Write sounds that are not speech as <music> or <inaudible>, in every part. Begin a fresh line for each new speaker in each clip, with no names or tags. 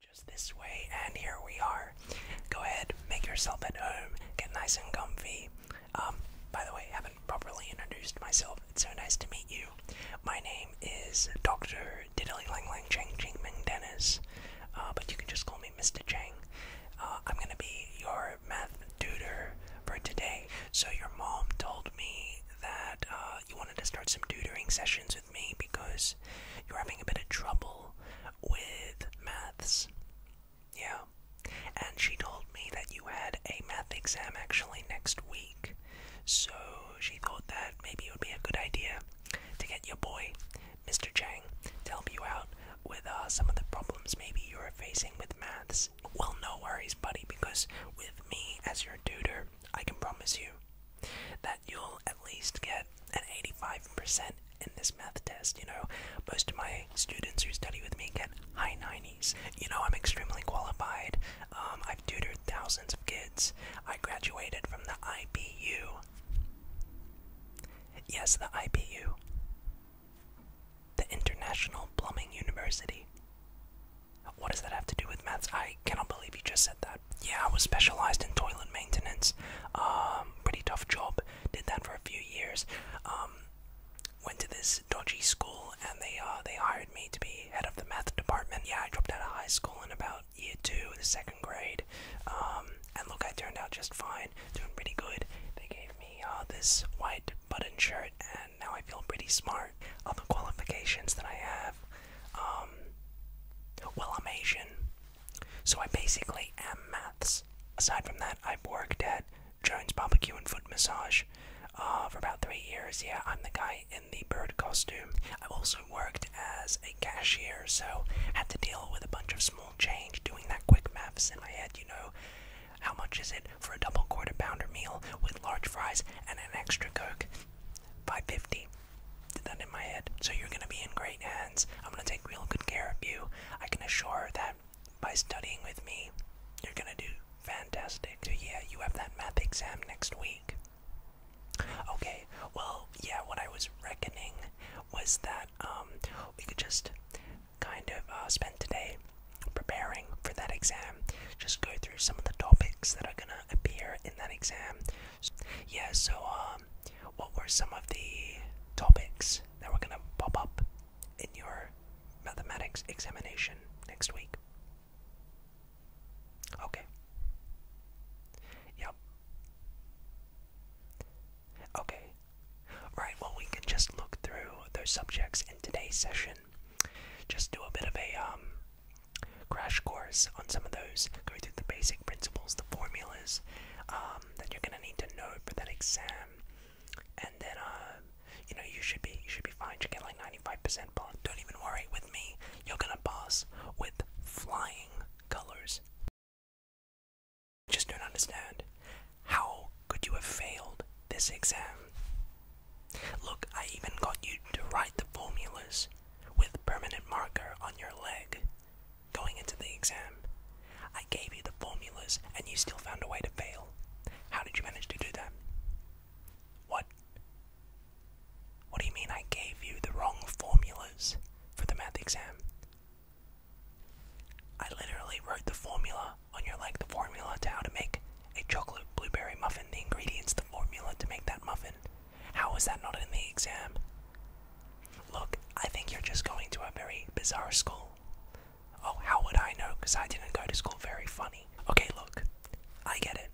Just this way, and here we are. Go ahead, make yourself at home, get nice and comfy. Um, by the way, I haven't properly introduced myself. It's so nice to meet you. My name is Dr. Diddly Lang Lang Chang Ming Dennis, uh, but you can just call me Mr. Chang. Uh, I'm gonna be your math tutor for today. So, your mom told me that uh, you want to start some tutoring sessions with me because you're having a bit of trouble with maths. Yeah. And she told me that you had a math exam actually next week. So she thought that maybe it would be a good idea to get your boy, Mr. Chang, to help you out with uh, some of the problems maybe you're facing with maths. Well, no worries, buddy, because with me as your tutor, I can promise you that you'll at least get an 85% in this math test. You know, most of my students who study with me get high 90s. You know, I'm extremely qualified. Um, I've tutored thousands of kids. I graduated from the IPU. Yes, the IPU. The International Plumbing University. What does that have to do with maths? I I cannot believe you just said that. Yeah, I was specialized in toilet maintenance. Um, pretty tough job. Did that for a few years. Um, went to this dodgy school and they uh, they hired me to be head of the math department. Yeah, I dropped out of high school in about year two, the second grade. Um, and look, I turned out just fine, doing pretty good. They gave me uh, this white button shirt, and now I feel pretty smart. All the qualifications that I have. Um, well, I'm Asian, so I basically am maths. Aside from that, I've worked at Jones Barbecue and Foot Massage uh, for about three years. Yeah, I'm the guy in the bird costume. I've also worked as a cashier, so had to deal with a bunch of small change, doing that quick maths in my head, you know. How much is it for a double quarter pounder meal with large fries and an extra coke? 550 did that in my head. So you're going to be in great hands. I'm going to take real good care of you. I can assure that by studying with me, you're going to do fantastic. So yeah, you have that math exam next week. Okay, well, yeah, what I was reckoning was that um, we could just kind of uh, spend today preparing for that exam. Just go through some of the topics that are going to appear in that exam. Yeah, so um, what were some of the topics that were going to pop up in your mathematics examination next week? Okay. Yep. Okay. Right, well, we can just look through those subjects in today's session. Just do a bit of a um, crash course on some of those, Go through the basic principles, the formulas um, that you're gonna need to know for that exam, and then uh, you know you should be you should be fine. You get like 95% Don't even worry with me. You're gonna pass with flying colors. I just don't understand. How could you have failed this exam? Look, I even got you to write the formulas with permanent marker on your leg. Going into the exam, I gave you the formulas and you still found a way to fail. How did you manage to do that? What? What do you mean I gave you the wrong formulas for the math exam? I literally wrote the formula on your leg, the formula to how to make a chocolate blueberry muffin, the ingredients, the formula to make that muffin. How was that not in the exam? Look, I think you're just going to a very bizarre school. Oh, how would I know? Because I didn't go to school very funny. Okay, look, I get it.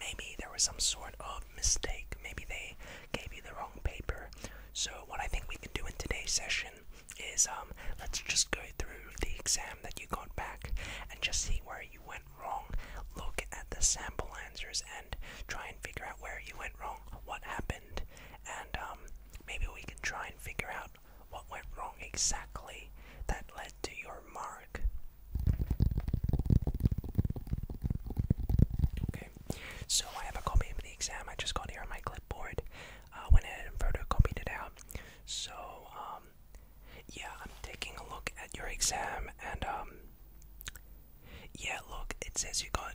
Maybe there was some sort of mistake. Maybe they gave you the wrong paper. So, what I think we can do in today's session is um, let's just go through the exam that you got back and just see where you went wrong. Look at the sample answers and try and figure out where you went wrong, what happened, and um, maybe we can try and figure out what went wrong exactly that led to your mark. Okay, so I have a copy of the exam I just got here on my clipboard. Uh, went ahead and photocopied it out. So, um, yeah, I'm taking a look at your exam and, um, yeah, look, it says you got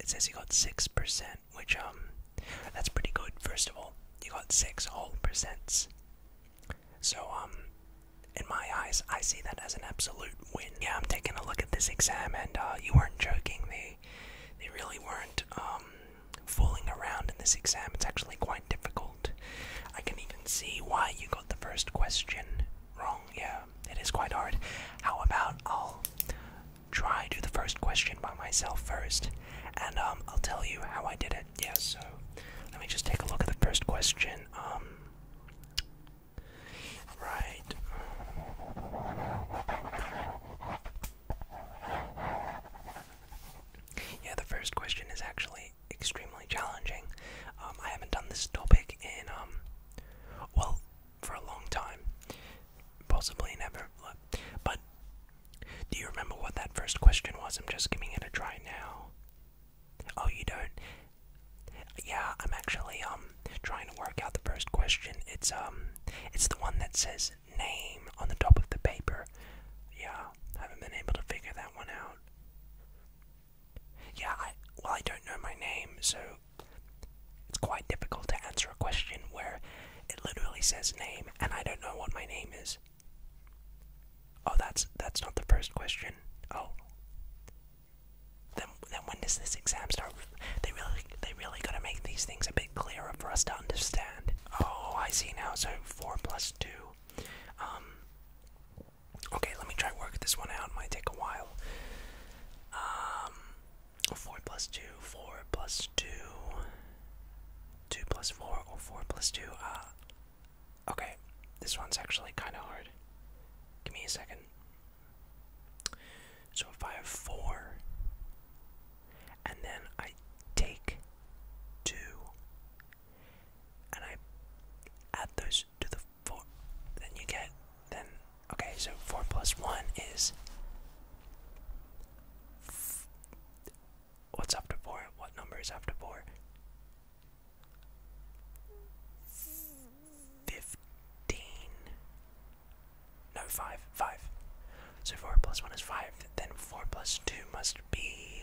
it says you got six percent, which um that's pretty good, first of all. You got six whole percents. So um in my eyes I see that as an absolute win. Yeah, I'm taking a look at this exam and uh you weren't joking, they they really weren't um fooling around in this exam. It's actually quite difficult. I can even see why you got the first question wrong. Yeah, it is quite hard. How about I'll try do the first question by myself first, and um, I'll tell you how I did it. Yeah. So let me just take a look at the first question. Um. Right. Yeah, the first question is actually extremely challenging. Um, I haven't done this topic in, um, well, for a long time. Possibly never. But do you remember what that first question was? I'm just giving it a try now. Oh, you don't? Yeah, I'm actually um trying to work out the first question. It's um it's the one that says name on the top of the paper. Yeah, I haven't been able to figure that one out. Yeah, I, well, I don't know my name, so it's quite difficult to answer a question where it literally says name and I don't know what my name is. Oh, that's that's not the first question. Oh, then then when does this exam start? They really they really gotta make these things a bit clearer for us to understand. Oh, I see now. So four plus two. Um, Okay, let me try work this one out. It might take a while. Um, four plus two, four plus two, two plus four, or four plus two. Uh, okay, this one's actually kind of hard. Give me a second. So if I have four, and then I take two, and I add those to the 4, then you get, then, okay, so 4 plus 1 is, what's after 4? What number is after 4? 15, no, 5, 5. So 4 plus 1 is 5, then 4 plus 2 must be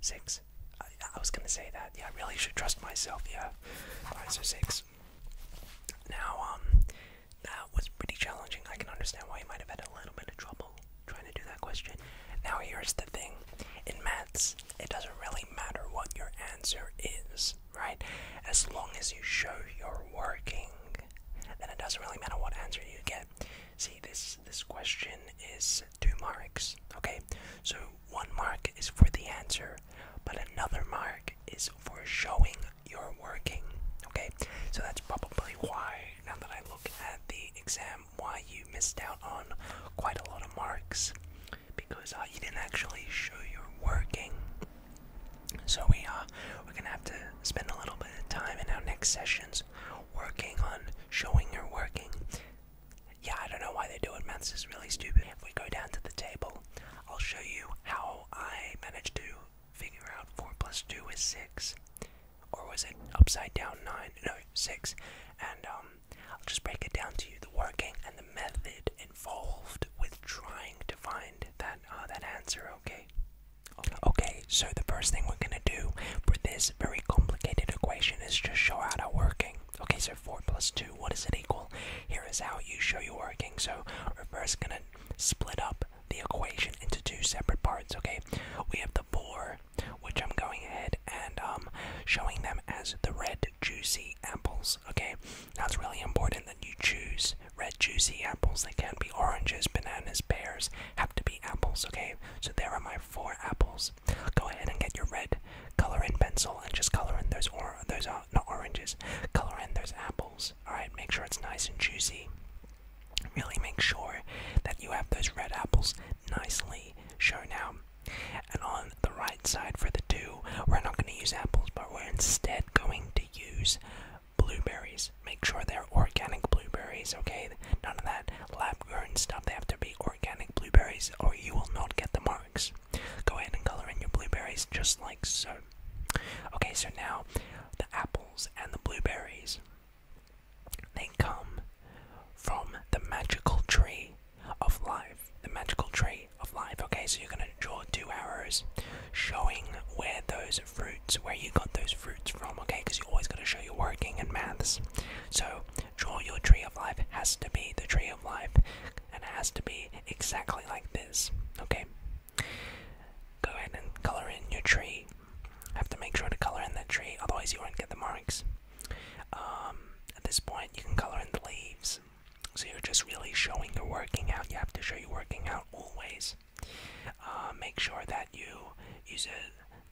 six. I, was gonna say that. Yeah, I really should trust myself. Yeah, alright, so six. Now, um, that was pretty challenging. I can understand why you might have had a little bit of trouble trying to do that question. Now, here's the thing: in maths, it doesn't really matter what your answer is, right? As long as you show you're working, then it doesn't really matter what answer you get. See, this this question is two marks. Okay, so one mark is for the answer, but another mark is for showing your are working. Okay, so that's probably why. Now that I look at the exam, why you missed out on quite a lot of marks because you didn't actually show your are working. So we are uh, we're gonna have to spend a little bit of time in our next sessions working on showing your working. Yeah, I don't know why they do it. Maths is really stupid. If we go down to the table, I'll show you how I managed to figure out 4 plus 2 is 6. Or was it upside down 9? No, 6. And um, I'll just break it down to you. The working and the method involved with trying to find that, uh, that answer, okay? Okay, so the first thing we're gonna do for this very complicated equation is just show how to working. Okay, so 4 plus 2, what does it equal? Here is how you show you working. So we're first gonna split up the equation into two separate parts, okay? We have the 4, which I'm going ahead and um, showing them as the red juicy apples, okay? that's really important that you choose red juicy apples. They can not be oranges, bananas, pears, have to be apples, okay? So there are my four apples. Go ahead and get your red color in pencil and just color in those or those are uh, not oranges. Color in those apples. All right, make sure it's nice and juicy. Really make sure that you have those red apples nicely shown out. And on the right side for the two, we're not going to use apples, but we're instead going to use blueberries. Make sure they're organic blueberries, okay? None of that lab grown stuff, they have to be organic blueberries or you will not get the marks. Go ahead and color in your blueberries just like so. Okay, so now the apples and the blueberries they come from the magical tree of life. The magical tree of life. Okay, so you're gonna draw two arrows showing where those fruits, where you got those fruits from, okay? Because you always gotta show your working in maths. So, draw your tree of life has to be the tree of life, and it has to be exactly like this. Okay. Go ahead and color in your tree. Have to make sure to color in that tree, otherwise you won't get the marks. Um, at this point, you can color in the leaves. So you're just really showing you're working out. You have to show you're working out always. Uh, make sure that you use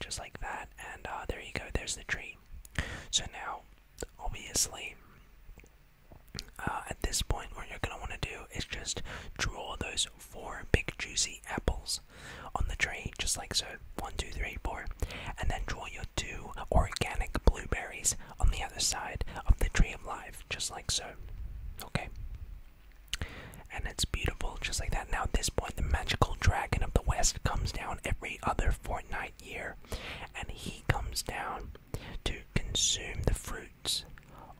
just like that, and uh, there you go, there's the tree. So now, obviously, uh, at this point, what you're gonna wanna do is just draw those four big juicy apples on the tree, just like so, one, two, three, four, and then draw your two organic blueberries on the other side of the tree of life, just like so, okay? and it's beautiful just like that. Now, at this point, the magical dragon of the west comes down every other fortnight year, and he comes down to consume the fruits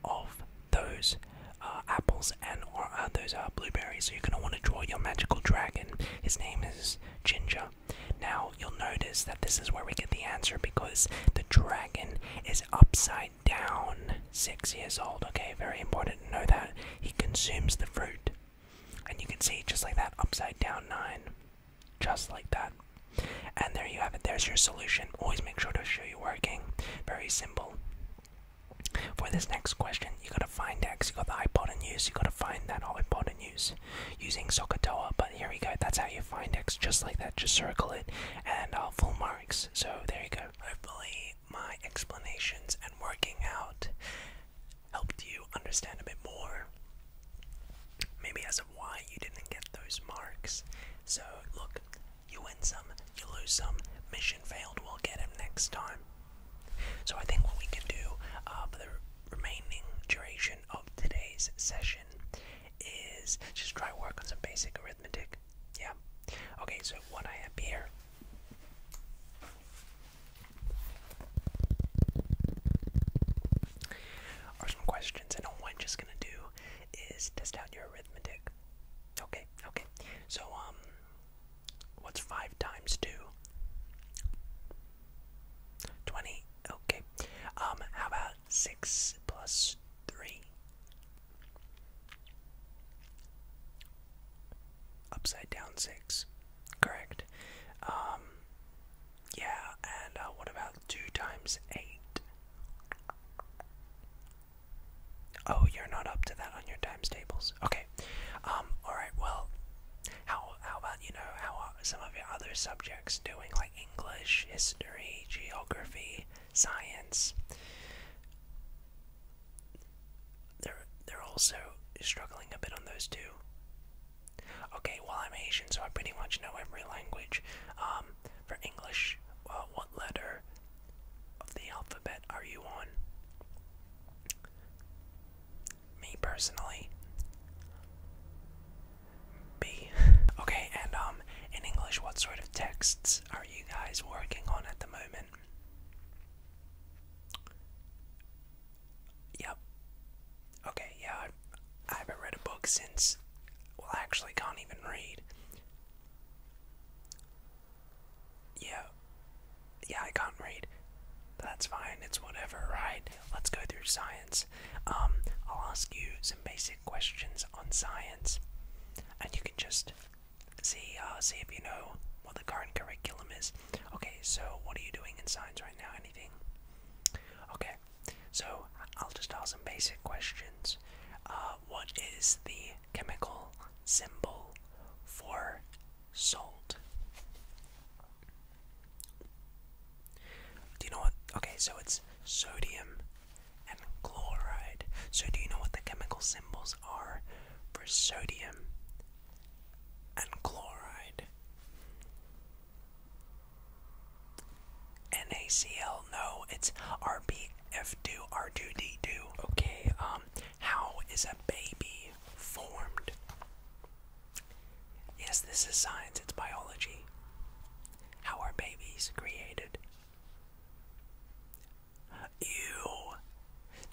of those uh, apples and or uh, those uh, blueberries. So you're gonna want to draw your magical dragon. His name is Ginger. Now you'll notice that this is where we get the answer because the dragon is upside down. Six years old. Okay, very important to know that he consumes the fruit. And you can see just like that, upside down nine. Just like that. And there you have it. There's your solution. Always make sure to show you working. Very simple. For this next question, you gotta find X, you got the hypotenuse, you gotta find that hypotenuse using Sokotoa. But here we go, that's how you find X, just like that, just circle it, and uh, full marks. So there you go. Hopefully, my explanations and working out helped you understand a bit more, maybe as to why you didn't get those marks. So, look, you win some, you lose some, mission failed, we'll get him next time. So, I think what we can do uh, for the remaining duration of today's session is just try work on some basic arithmetic. Yeah. Okay, so what I have here are some questions, and all i just gonna do is test out your arithmetic. Okay, okay. So, um, what's five times two? Twenty. Okay. Um, how about six plus three? upside down six. Correct. Um, yeah, and uh, what about two times eight? Oh, you're not up to that on your times tables. Okay. Um, alright, well, how, how about, you know, how are some of your other subjects doing, like English, history, geography, science? They're they're also struggling a bit on those two. Okay, well I'm Asian, so I pretty much know every language. Um, for English, uh, what letter of the alphabet are you on? Me personally, B. <laughs> Okay, and um, in English, what sort of texts are you guys working on at the moment? Yep. Okay, yeah, I've, I have not read a book since. Well, I actually can't even read. Yeah. Yeah, I can't read. That's fine, it's whatever, right? Let's go through science. Um, I'll ask you some basic questions on science, and you can just See, uh, see if you know what the current curriculum is. Okay, so what are you doing in science right now? Anything? Okay, so I'll just ask some basic questions. Uh, what is the chemical symbol for salt? Do you know what? Okay, so it's sodium and chloride. So do you know what the chemical symbol examples for sodium and chloride. NaCl, no, it's RBF2, R2D2. Okay, um, how is a baby formed? Yes, this is science, it's biology. How are babies created? Ew.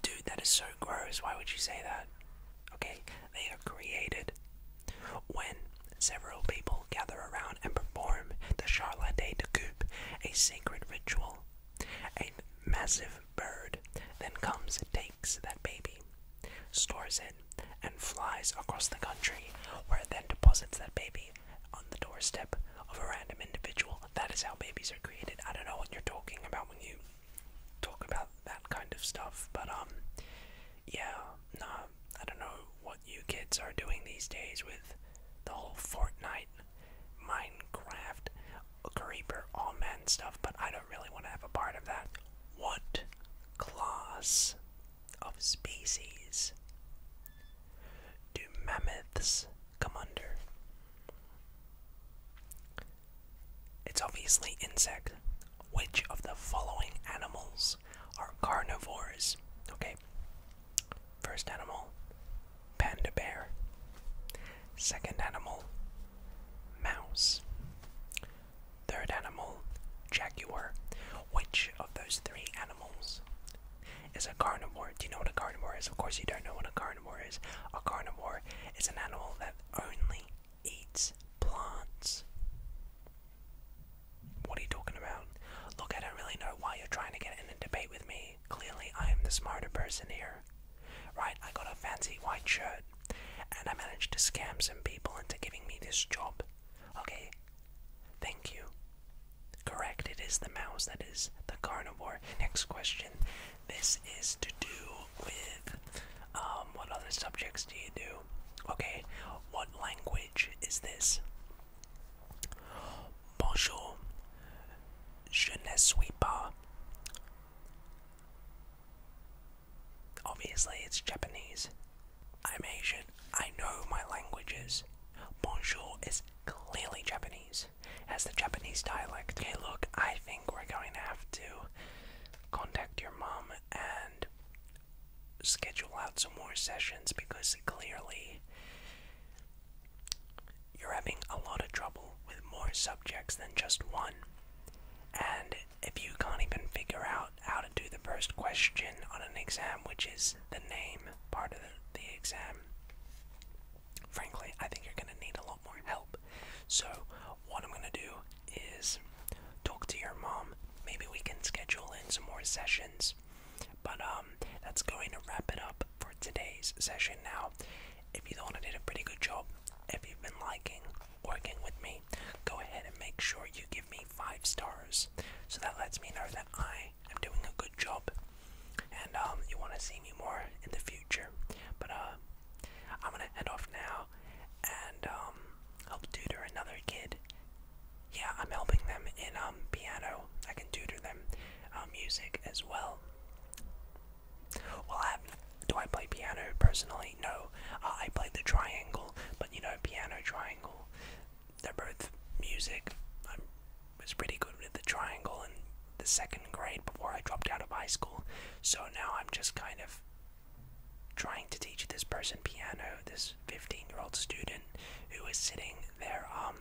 Dude, that is so gross. Why would you say that? Okay, they are created when several people gather around and perform the Charlotte de Coupe, a sacred ritual. A massive bird then comes and takes that baby, stores it, and flies across the country, where it then deposits that baby on the doorstep of a random individual. That is how babies are created. I don't know what you're talking about when you talk about that kind of stuff, but um, yeah, nah, I don't know what you kids are doing these days with the whole Fortnite, Minecraft, Creeper, all man stuff, but I don't really want to have a part of that. What class of species do mammoths come It's obviously insect. Which of the following animals are carnivores? Okay. First animal, panda bear. Second animal, mouse. Third animal, jaguar. Which of those three animals is a carnivore. Do you know what a carnivore is? Of course, you don't know what a carnivore is. A carnivore is an animal that only eats plants. What are you talking about? Look, I don't really know why you're trying to get in a debate with me. Clearly, I am the smarter person here. Right, I got a fancy white shirt, and I managed to scam some people into giving me this job. Okay, thank you. Correct, it is the mouse that is the carnivore. Next question. This is to do with um, what other subjects do you do? Okay, what language is this? Bonjour, je Obviously, it's Japanese. I'm Asian. I know my languages. Bonjour is clearly Japanese as the Japanese dialect. Okay, look, I think we're going to have to contact your mom and schedule out some more sessions because clearly you're having a lot of trouble with more subjects than just one. And if you can't even figure out how to do the first question on an exam, which is the name part of the, the exam, frankly, I think you're going to need a lot more help. So, what I'm going to do is talk to your mom. Maybe we can schedule in some more sessions. But um, that's going to wrap it up for today's session now. If you thought I did a pretty good job, if you've been liking working with me, go ahead and make sure you give me five stars. So that lets me know that I I am doing a good job, and um, you want to see me more in the future. But uh, I'm gonna end off now and um, help tutor another kid. Yeah, I'm helping them in um, piano. I can tutor them uh, music as well. Well, I do I play piano personally? No, uh, I play the triangle, but you know, piano triangle. They're both music was pretty good with the triangle in the second grade before I dropped out of high school. So now I'm just kind of trying to teach this person piano, this 15-year-old student who is sitting their um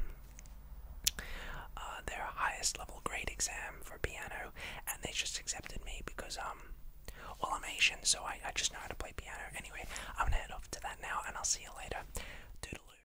uh, their highest level grade exam for piano, and they just accepted me because um well I'm Asian, so I I just know how to play piano. Anyway, I'm gonna head off to that now, and I'll see you later. Doodaloo.